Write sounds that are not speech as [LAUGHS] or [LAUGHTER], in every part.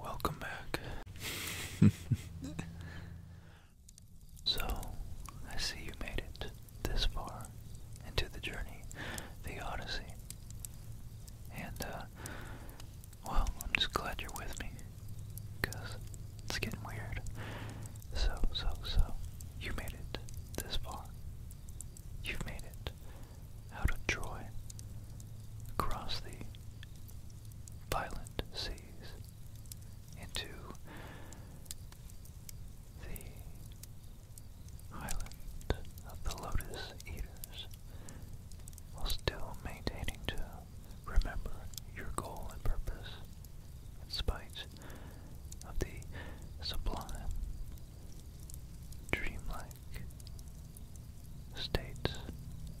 Welcome back. [LAUGHS] So, I see you made it this far into the journey, the Odyssey. And, uh, well, I'm just glad you're with me, because it's getting weird. So, so, so, you made it this far. You've made it out of Troy, across the violent seas, into the island of the Lotus Eaters, while still maintaining to remember your goal and purpose, in spite of the sublime, dreamlike state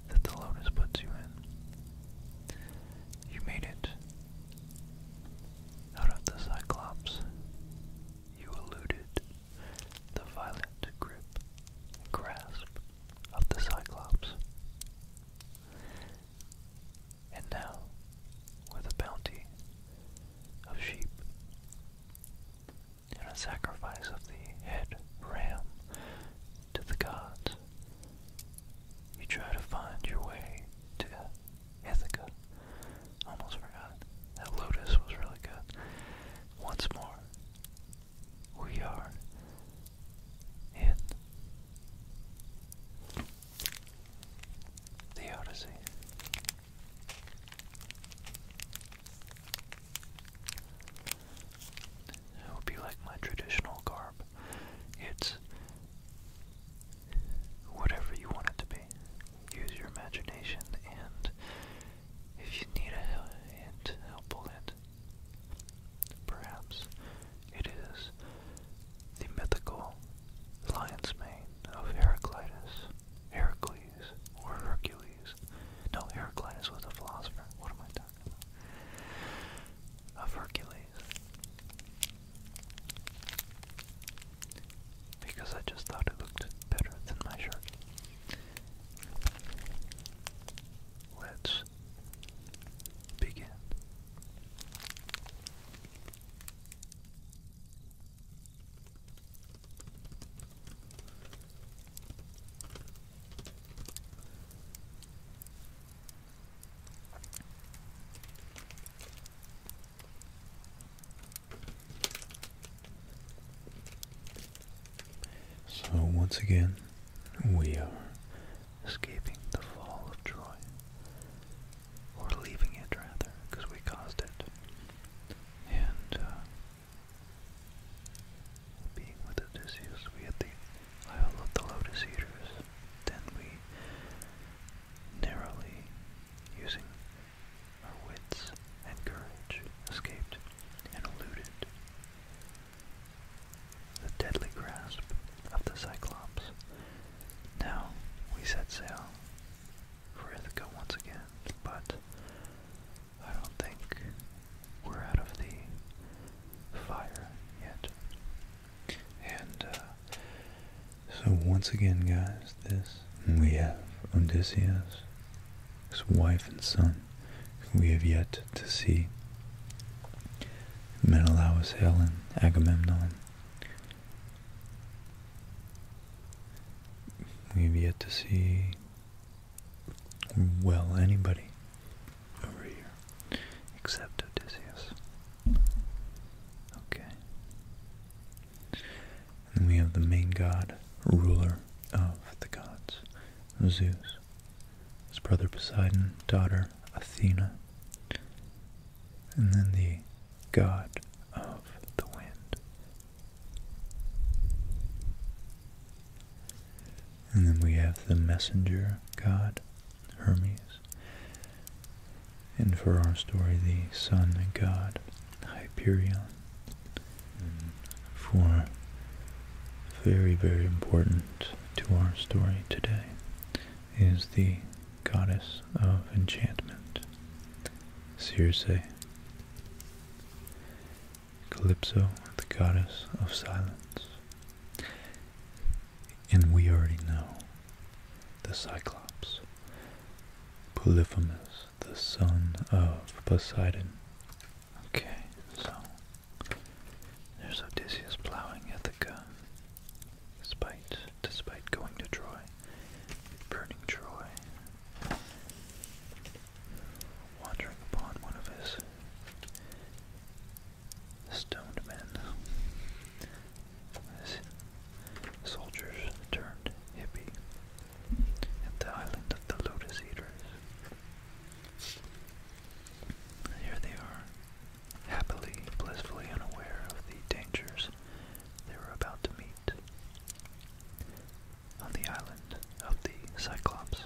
that the Lotus puts you in. You made it out of the Cyclops. You eluded the violent grip grasp of the Cyclops. And now, with a bounty of sheep and a sacrifice of the head ram to the gods, you try to find your way to Ithaca. Almost forgot. That Lotus was really good. Once more, we are in the Odyssey. hope you like my traditional garb. It's whatever you want it to be. Use your imagination, and if you need a hint, helpful hint, perhaps it is the mythical lion's mane of Heraclitus, Heracles, or Hercules. No, Heraclitus was a philosopher. What am I talking about? Of Hercules. Because I just thought it looked better than my shirt. Let's begin. So once again, we are escaping the fall of Troy. Or leaving it rather, because we caused it. And uh, being with Odysseus, we had the Isle of the Lotus Eaters. Then we narrowly, using our wits and courage, escaped and eluded the deadly grasp of the Cyclops. Now we set sail for Ithaca once again, but I don't think we're out of the fire yet. And uh, so once again, guys, this we have Odysseus, his wife and son, we have yet to see. Menelaus, Helen, Agamemnon. We have yet to see, well, anybody over here except Odysseus. Okay. And we have the main god, ruler of the gods, Zeus. His brother Poseidon, daughter Athena. And then the god of the wind. And then we have the messenger god Hermes. And for our story, the sun god Hyperion. And for very, very important to our story today is the goddess of enchantment, Circe. Calypso, the goddess of silence. And we already know the Cyclops, Polyphemus, the son of Poseidon. Okay, so there's Odysseus plowing Ithaca, despite, despite going to Troy, burning Troy, wandering upon one of his stoned men soldiers turned hippie at the island of the Lotus Eaters. Here they are, happily, blissfully unaware of the dangers they were about to meet. On the island of the Cyclops.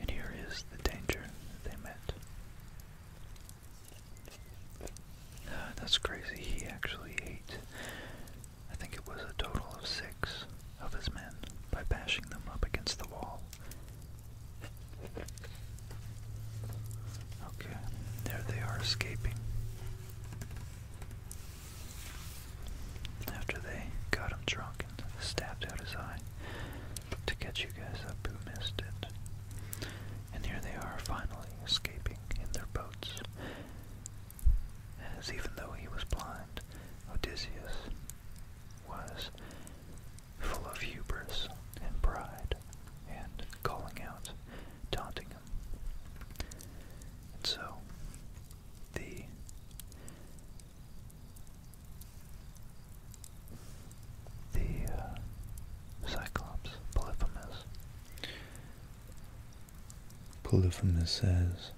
And here is the danger they met. Uh, that's crazy. He actually ate, I think it was a total of six of his men by bashing them up against the wall. Okay, there they are escaping. After they got him drunk and stabbed out his eye to get you guys up who missed it and here they are finally escaping in their boats. As even though he was blind, Odysseus was full of hubris and pride, and calling out, taunting him. so, the the uh, Cyclops, Polyphemus. Polyphemus says,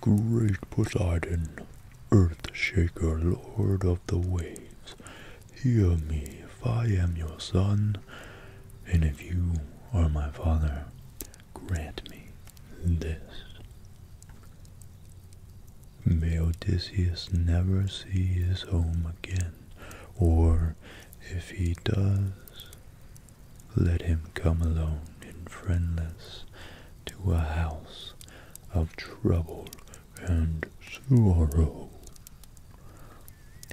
Great Poseidon, Earthshaker, Lord of the Waves, hear me if I am your son, and if you are my father, grant me this. May Odysseus never see his home again, or if he does, let him come alone and friendless to a house of trouble and sorrow.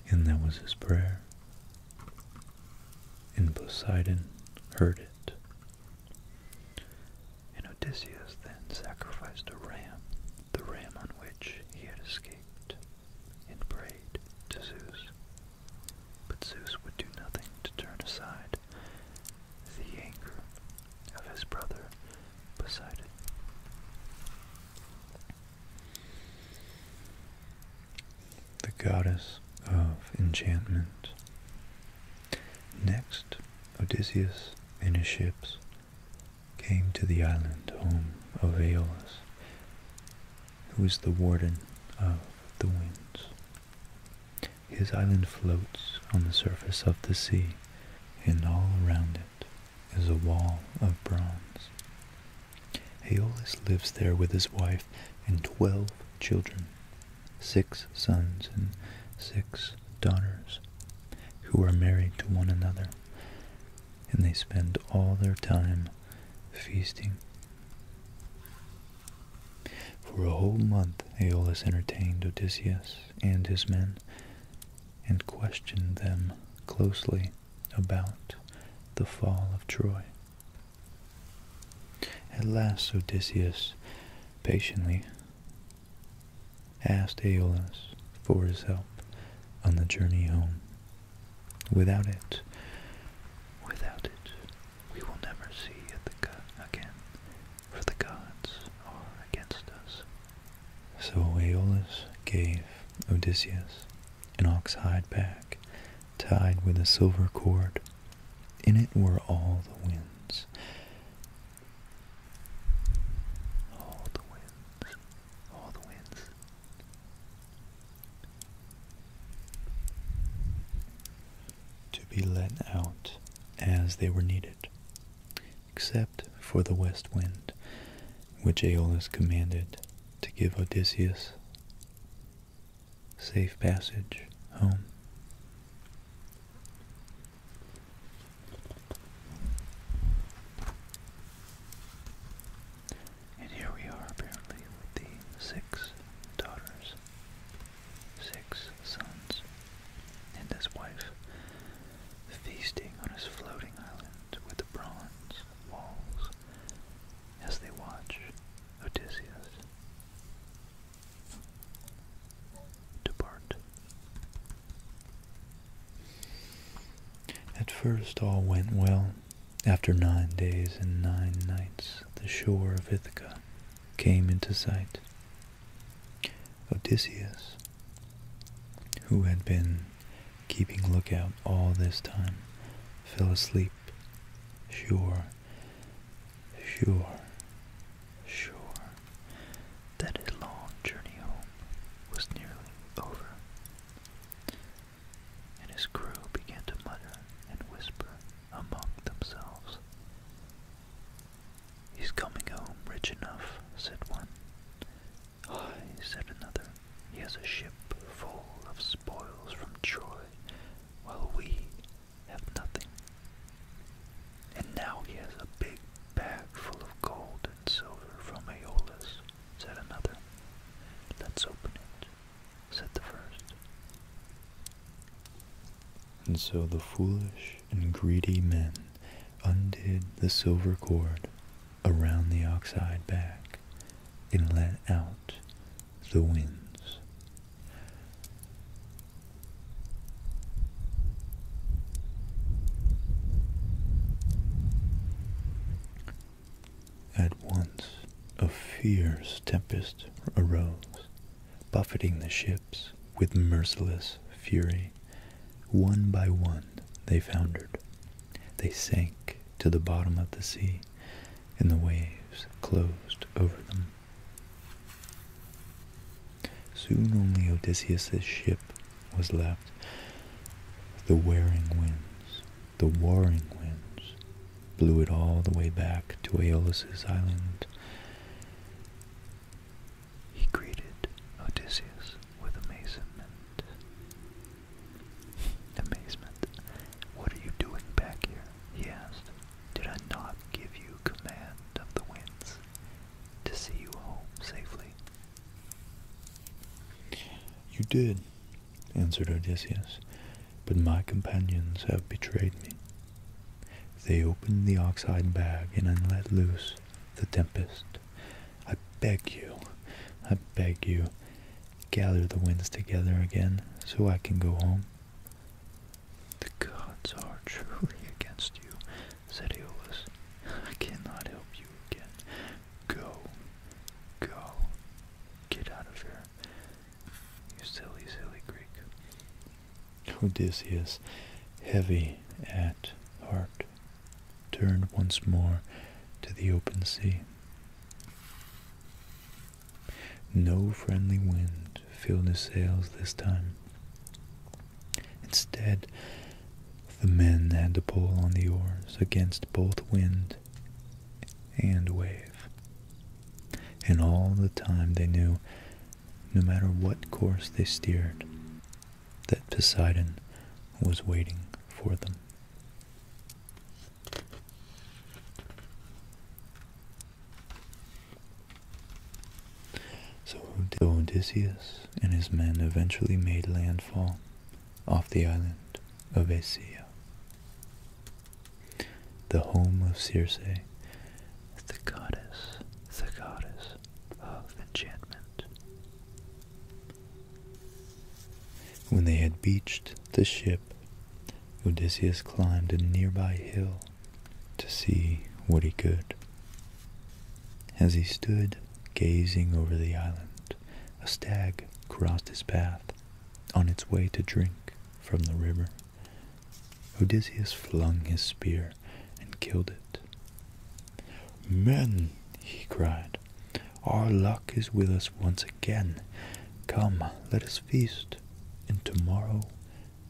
And that was his prayer. And Poseidon heard it. And Odysseus then sacrificed a ram, the ram on which he had escaped, and prayed to Zeus. But Zeus would do nothing to turn aside the anger of his brother Poseidon. The goddess of enchantment Next, Odysseus and his ships came to the island home of Aeolus, who is the warden of the winds. His island floats on the surface of the sea, and all around it is a wall of bronze. Aeolus lives there with his wife and twelve children, six sons and six daughters, who are married to one another, and they spend all their time feasting. For a whole month Aeolus entertained Odysseus and his men, and questioned them closely about the fall of Troy. At last Odysseus patiently asked Aeolus for his help on the journey home. Without it, without it, we will never see Ithaca again, for the gods are against us. So Aeolus gave Odysseus an ox hide bag tied with a silver cord. In it were all the winds all the winds, all the winds. To be let out as they were needed, except for the west wind, which Aeolus commanded to give Odysseus safe passage home. And here we are apparently with the six daughters, six sons, and his wife feasting on his floating island with the bronze walls as they watch Odysseus depart. At first all went well. After nine days and nine nights the shore of Ithaca came into sight. Odysseus, who had been keeping lookout all this time, fell asleep. Sure, sure, sure that his long journey home was nearly over. And his crew began to mutter and whisper among themselves. He's coming home rich enough, said one. Aye, said another. He has a ship full of spoils from Troy, while we have nothing and now he has a big bag full of gold and silver from Aeolus, said another. Let's open it, said the first. And so the foolish and greedy men undid the silver cord around the oxide bag and let out the winds. At once a fierce tempest arose, buffeting the ships with merciless fury. One by one they foundered. They sank to the bottom of the sea, and the waves closed over them. Soon only Odysseus' ship was left. The wearing winds, the warring winds, blew it all the way back to Aeolus's island. He greeted Odysseus with amazement. amazement. What are you doing back here? he asked. Did I not give you command of the winds? to see you home safely. You did, answered Odysseus, but my companions have betrayed me. They opened the oxide bag and let loose the tempest. I beg you, I beg you, gather the winds together again so I can go home. The gods are [LAUGHS] truly against you, said I cannot help you again. Go, go, get out of here, you silly, silly Greek. Odysseus, heavy at heart, turned once more to the open sea. No friendly wind filled his sails this time. Instead, the men had to pull on the oars against both wind and wave. And all the time they knew, no matter what course they steered, that Poseidon was waiting for them. So Odysseus and his men eventually made landfall off the island of Aecia, the home of Circe, the goddess, the goddess of enchantment. When they had beached the ship, Odysseus climbed a nearby hill to see what he could. As he stood gazing over the island, a stag crossed his path on its way to drink from the river. Odysseus flung his spear and killed it. Men, he cried, our luck is with us once again. Come, let us feast, and tomorrow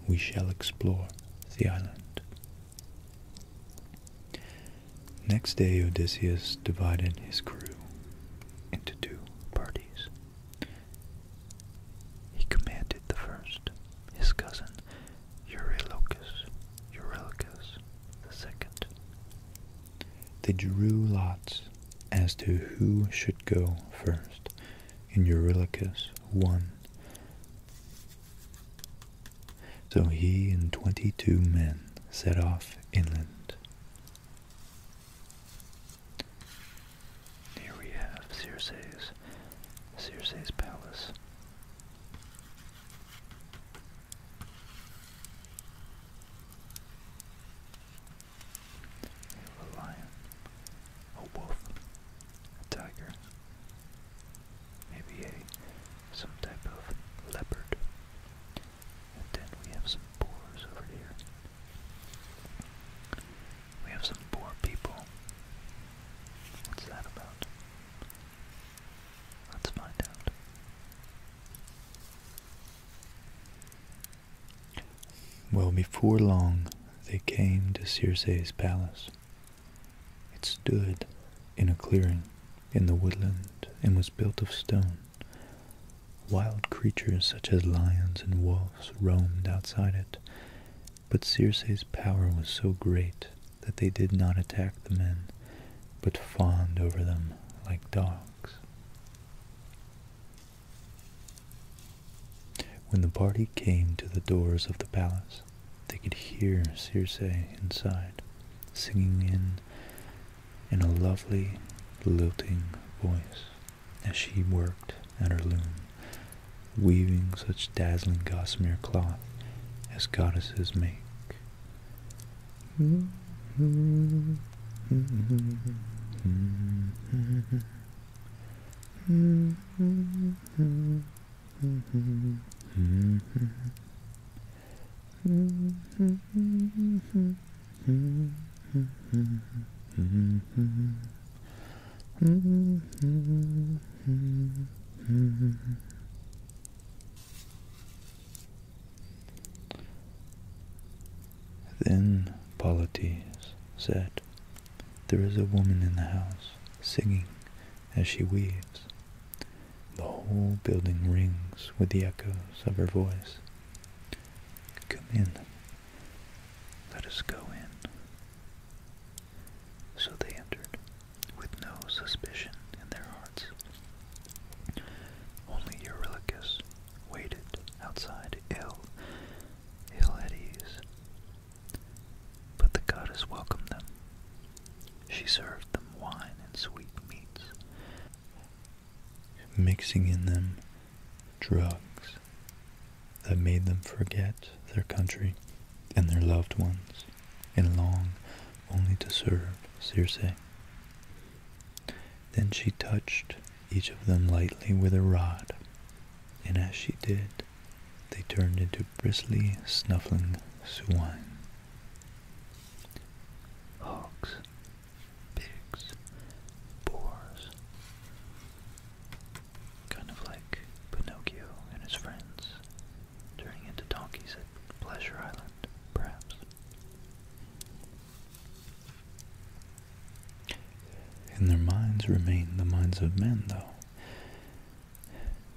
we shall explore the island. Next day Odysseus divided his crew into two parties. He commanded the first, his cousin Eurylochus, Eurylochus the second. They drew lots as to who should go first, and Eurylochus won. So he and twenty-two men set off inland. Here we have Circe's, Circe's palace. A lion, a wolf, a tiger, maybe a some type of leopard. And then we have some boars over here. We have some boar people. What's that about? Let's find out. Well, before long, they came to Circe's palace. It stood in a clearing in the woodland and was built of stone. Wild creatures such as lions and wolves roamed outside it, but Circe's power was so great that they did not attack the men, but fawned over them like dogs. When the party came to the doors of the palace, they could hear Circe inside, singing in in a lovely, lilting voice as she worked at her loom, weaving such dazzling gossamer cloth as goddesses make. Then Polites said, There is a woman in the house, singing as she weaves. The whole building rings with the echoes of her voice. Come in. Let us go in. So they entered, with no suspicion in their hearts. Only Eurylochus waited outside, ill, ill at ease. But the goddess welcomed them, she served them wine and sweetmeats, mixing in them drugs that made them forget their country and their loved ones, and long only to serve Circe. Then she touched each of them lightly with a rod, and as she did, they turned into bristly, snuffling swine hogs, pigs, boars. Kind of like Pinocchio and his friends turning into donkeys at Pleasure Island, perhaps. In their minds remain the minds of men, though,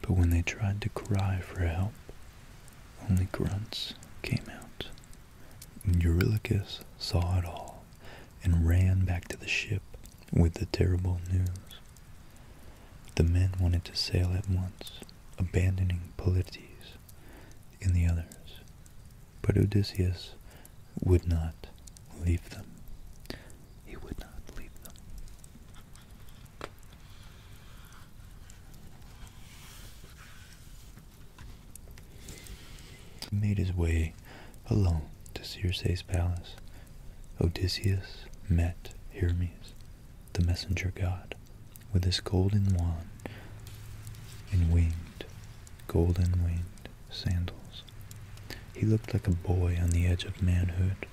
but when they tried to cry for help, only grunts came out. Eurylochus saw it all and ran back to the ship with the terrible news. The men wanted to sail at once, abandoning Polydectes, and the others, but Odysseus would not leave them. He would not leave them made his way alone to Circe's palace. Odysseus met Hermes, the messenger god, with his golden wand and winged, golden winged sandals. He looked like a boy on the edge of manhood,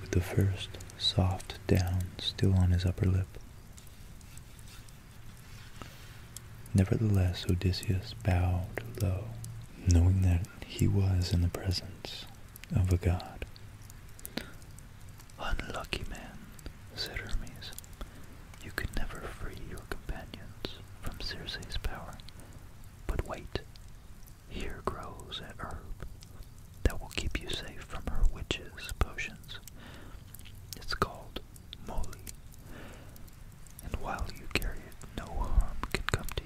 with the first soft down still on his upper lip. Nevertheless, Odysseus bowed low, knowing that he was in the presence of a god. Unlucky man, said Hermes, you can never free your companions from Circe's power. But wait, here grows an herb that will keep you safe from her witches' potions. It's called moly, and while you carry it, no harm can come to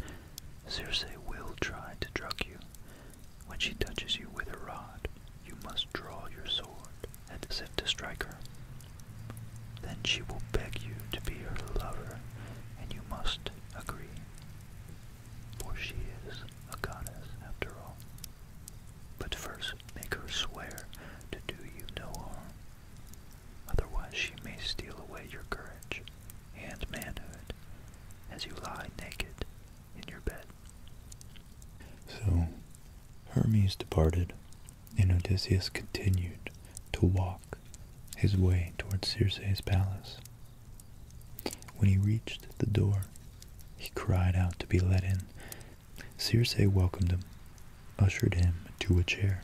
you. Circe will try to drug you. When she touches you with her rod, you must draw your sword and if to strike her. Then she will beg you to be her lover, and you must agree for she is a goddess after all. But first make her swear to do you no harm. Otherwise she may steal away your courage and manhood as you lie naked in your bed. So Hermes departed, and Odysseus continued to walk his way towards Circe's palace. When he reached the door, he cried out to be let in. Circe welcomed him, ushered him to a chair,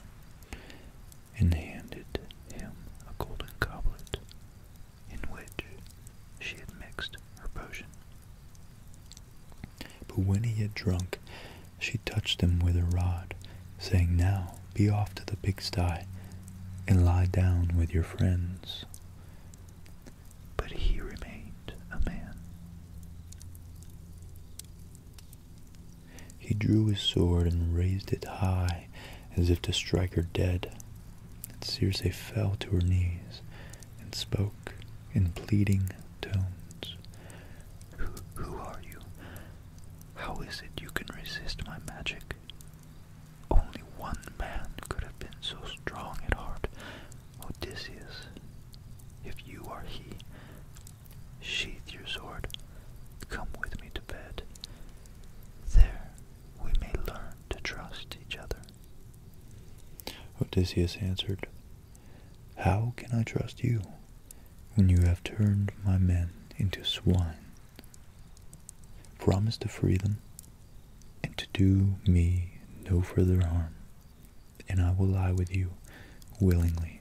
and handed him a golden goblet in which she had mixed her potion. But when he had drunk, she touched him with her rod, saying, Now be off to the pigsty and lie down with your friends. But he remained a man. He drew his sword and raised it high as if to strike her dead. And Circe fell to her knees and spoke in pleading tones. who are you? How is it you can resist my magic? Only one man could have been so strong at heart, Odysseus. If you are he, sheathe your sword, come with me to bed. There we may learn to trust each other. Odysseus answered, How can I trust you when you have turned my men into swine? promise to free them, and to do me no further harm, and I will lie with you willingly.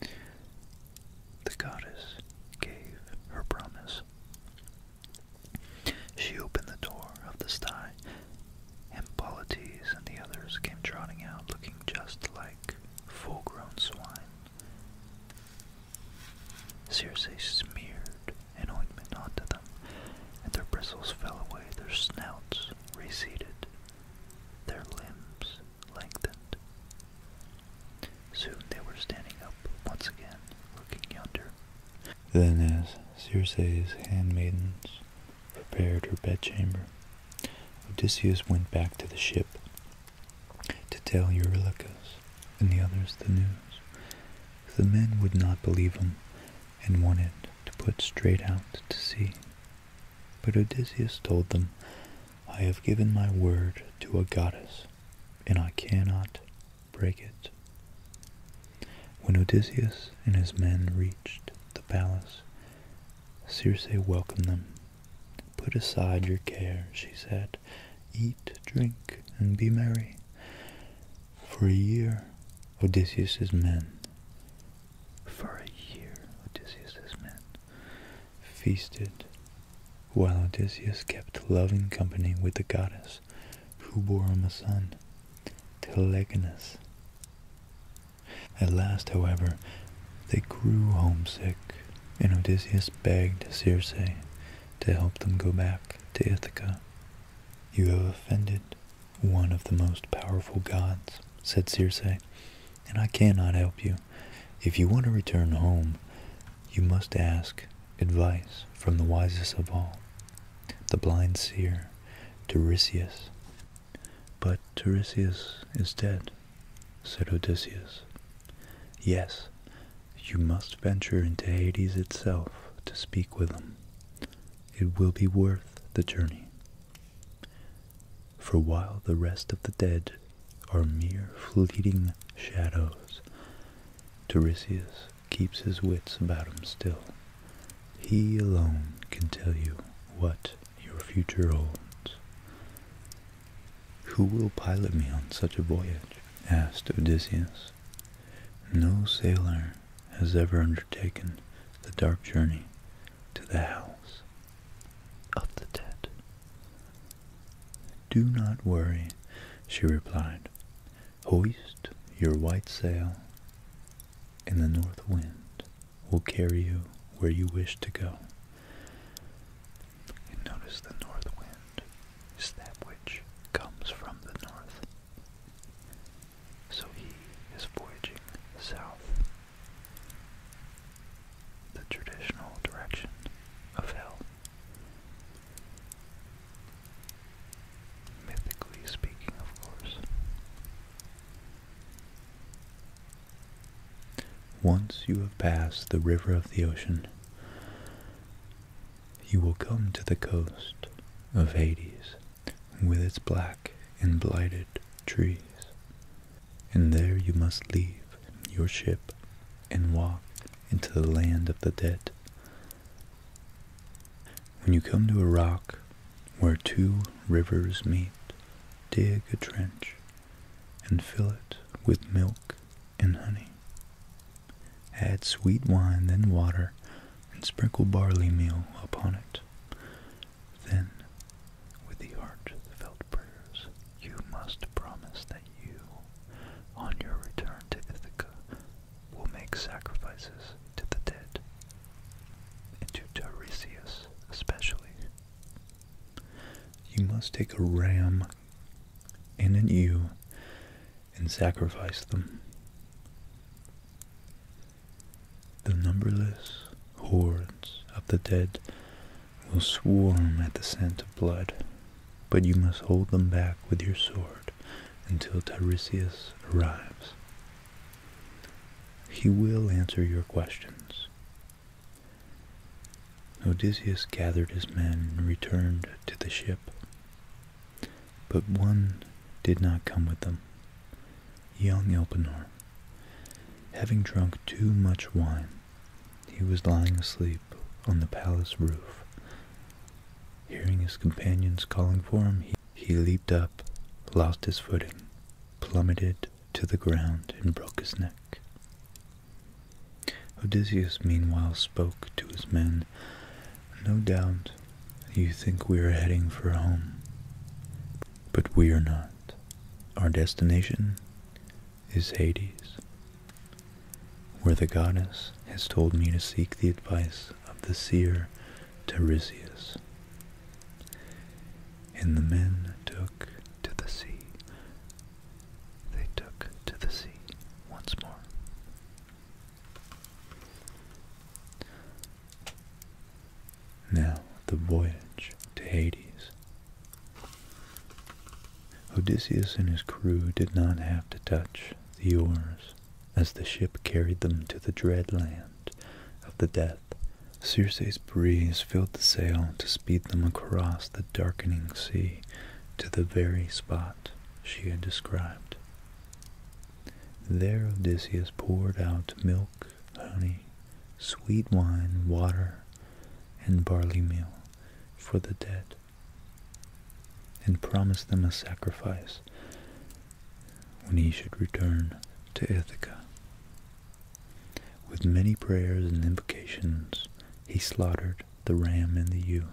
The goddess gave her promise. She opened the door of the sty, and Polites and the others came trotting out looking just like full grown swine. Circe smeared an ointment onto them, and their bristles fell away, their snouts receded, their limbs lengthened. Soon they were standing up once again, looking yonder. Then, as Circe's handmaidens prepared her bedchamber, Odysseus went back to the ship to tell Eurylochus and the others the news. The men would not believe him and wanted to put straight out to sea. But Odysseus told them, I have given my word to a goddess, and I cannot break it. When Odysseus and his men reached the palace, Circe welcomed them Put aside your care, she said. Eat, drink, and be merry. For a year, Odysseus's men, for a year, Odysseus's men, feasted, while Odysseus kept loving company with the goddess, who bore him a son, Telegonus. At last, however, they grew homesick and Odysseus begged Circe to help them go back to Ithaca. You have offended one of the most powerful gods, said Circe, and I cannot help you. If you want to return home, you must ask advice from the wisest of all, the blind seer, Tiresias. But Tiresias is dead, said Odysseus. Yes, you must venture into Hades itself to speak with them. It will be worth the journey. For while the rest of the dead are mere fleeting shadows, Tiresias keeps his wits about him still. He alone can tell you what your future holds. Who will pilot me on such a voyage? asked Odysseus. No sailor has ever undertaken the dark journey to the house of the dead. Do not worry, she replied. Hoist your white sail, and the north wind will carry you where you wish to go. And notice the north wind is that which comes from the north. So he is voyaging south, the traditional direction of hell. Mythically speaking, of course. Once you have passed the river of the ocean, you will come to the coast of Hades with its black and blighted trees. And there you must leave your ship and walk into the land of the dead. When you come to a rock where two rivers meet, dig a trench and fill it with milk and honey. Add sweet wine, then water, and sprinkle barley meal upon it. Then, with the heart felt prayers, you must promise that you, on your return to Ithaca, will make sacrifices to the dead, and to Tiresias especially. You must take a ram and in you, and sacrifice them. The numberless hordes of the dead will swarm at the scent of blood, but you must hold them back with your sword until Tiresias arrives. He will answer your questions Odysseus gathered his men and returned to the ship, but one did not come with them, young Elpenor. Having drunk too much wine, he was lying asleep on the palace roof. Hearing his companions calling for him, he, leaped up, lost his footing, plummeted to the ground, and broke his neck. Odysseus meanwhile spoke to his men. No doubt you think we are heading for home, but we are not. Our destination is Hades, where the goddess has told me to seek the advice of the seer Tiresias. And the men took to the sea they took to the sea once more. Now, the voyage to Hades. Odysseus and his crew did not have to touch the oars as the ship carried them to the dread land of the death. Circe's breeze filled the sail to speed them across the darkening sea to the very spot she had described. There Odysseus poured out milk, honey, sweet wine, water, and barley meal for the dead, and promised them a sacrifice when he should return to Ithaca. With many prayers and invocations, he slaughtered the ram and the ewe.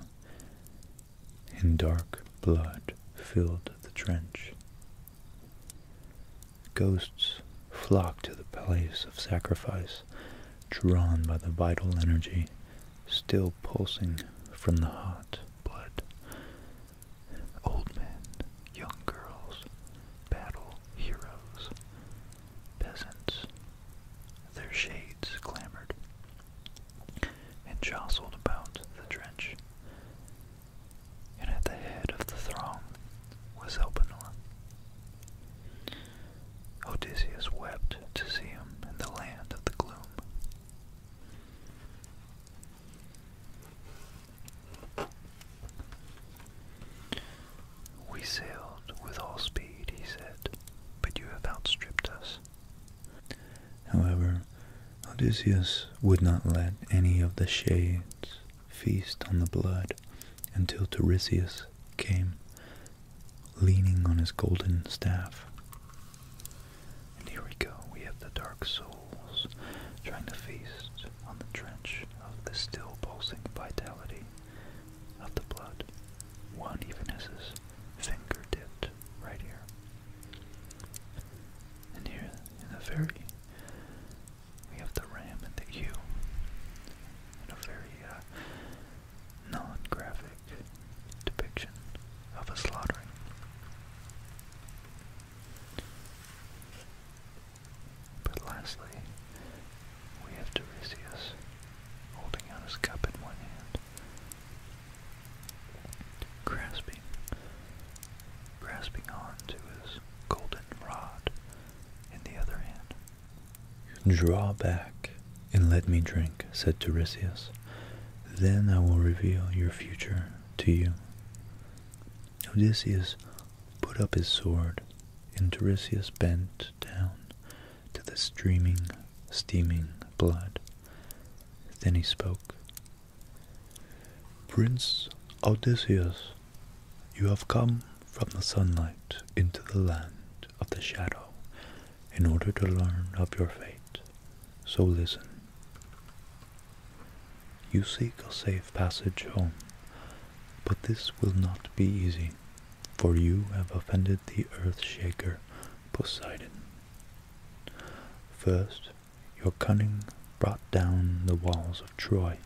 In dark blood filled the trench. Ghosts flocked to the place of sacrifice, drawn by the vital energy still pulsing from the hot blood. Old men, young girls, battle heroes, peasants, their shades clamored and jostled about the trench. And at the head of the throng was Elpenor. Odysseus wept to see him in the land of the gloom. We sailed with all speed, he said, but you have outstripped us. However, Odysseus would not let any of the shades feast on the blood until Tiresias came, leaning on his golden staff. And here we go, we have the dark souls trying to feast on the trench of the still pulsing vitality of the blood. One even as his finger dipped right here. And here in the very, we have the ram and the ewe in a very uh, non-graphic depiction of a slaughtering. But lastly, we have Tiresias holding out his cup in one hand. Grasping, grasping on to his golden rod in the other hand. Draw back and let me drink, said Tiresias. Then I will reveal your future to you. Odysseus put up his sword, and Tiresias bent down to the streaming, steaming blood. Then he spoke. Prince Odysseus, you have come from the sunlight into the land of the shadow in order to learn of your fate. So listen. You seek a safe passage home, but this will not be easy for you have offended the earth-shaker Poseidon. First, your cunning brought down the walls of Troy,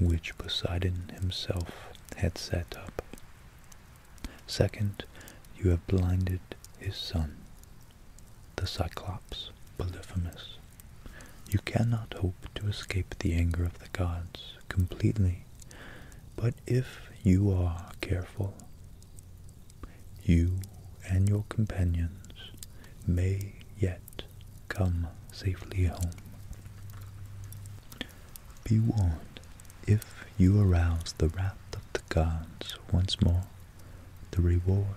which Poseidon himself had set up. Second, you have blinded his son, the Cyclops Polyphemus. You cannot hope to escape the anger of the gods completely, but if you are careful, you and your companions may yet come safely home. Be warned, if you arouse the wrath of the gods once more, the reward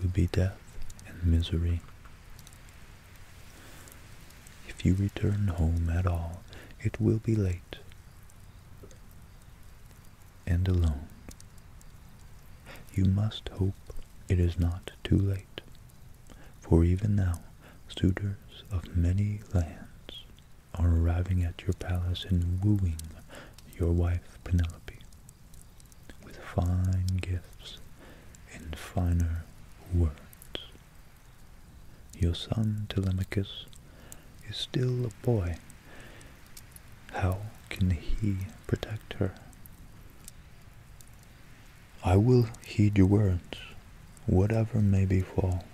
will be death and misery. If you return home at all, it will be late and alone. You must hope it is not too late, for even now suitors of many lands are arriving at your palace and wooing your wife Penelope with fine gifts and finer words. Your son, Telemachus, is still a boy. How can he protect her? I will heed your words, whatever may befall.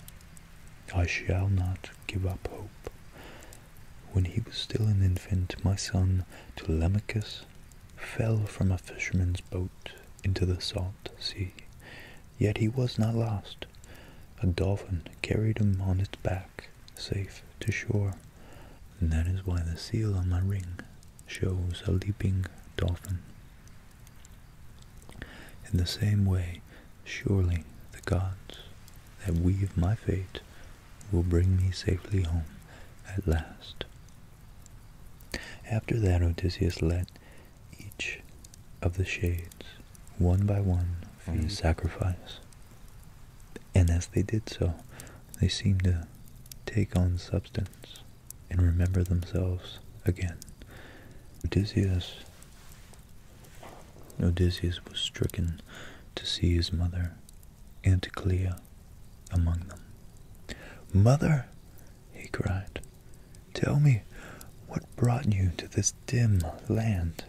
I shall not give up hope. When he was still an infant, my son Telemachus fell from a fisherman's boat into the salt sea. Yet he was not lost. A dolphin carried him on its back, safe to shore. And that is why the seal on my ring shows a leaping dolphin. In the same way, surely the gods that weave my fate will bring me safely home at last. After that Odysseus led each of the shades one by one for his mm-hmm. sacrifice. And as they did so, they seemed to take on substance and remember themselves again. Odysseus Odysseus was stricken to see his mother, Anticlea, among them. Mother, he cried, Tell me what brought you to this dim land.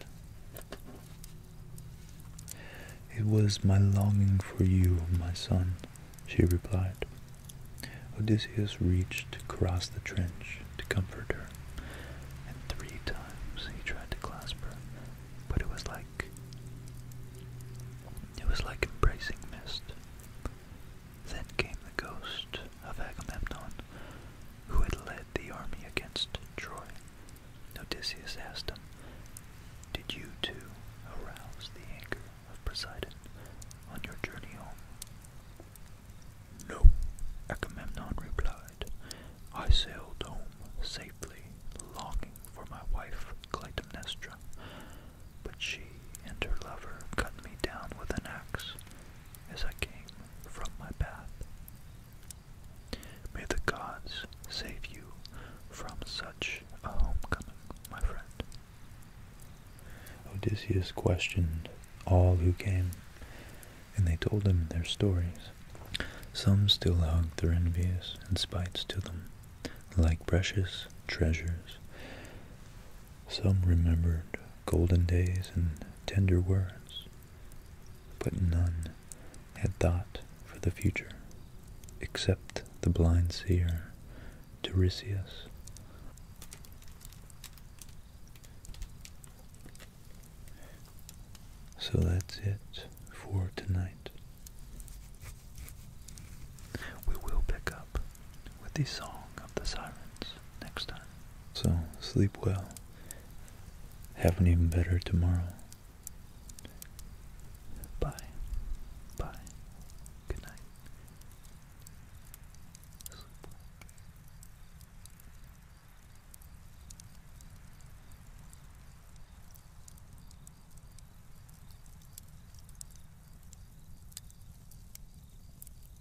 It was my longing for you, my son, she replied. Odysseus reached across the trench to comfort her, and three times he tried to clasp her, but it was like it was like embracing mist. Then came the ghost of Agamemnon, who had led the army against Troy. Odysseus asked him, Did you too arouse the anger of Poseidon on your journey home? No, Agamemnon replied. I sailed home safely, longing for my wife Clytemnestra, but she and her lover cut me down with an axe as I came from my path. May the gods save you from such a homecoming, my friend. Odysseus questioned all who came, and they told him their stories. Some still hugged their envious and spites to them, like precious treasures, some remembered golden days and tender words, but none had thought for the future, except the blind seer, Tiresias. So that's it for tonight. We will pick up with the Song of the Sirens next time. So, sleep well. Have an even better tomorrow. Bye. Bye. Good night. Sleep well.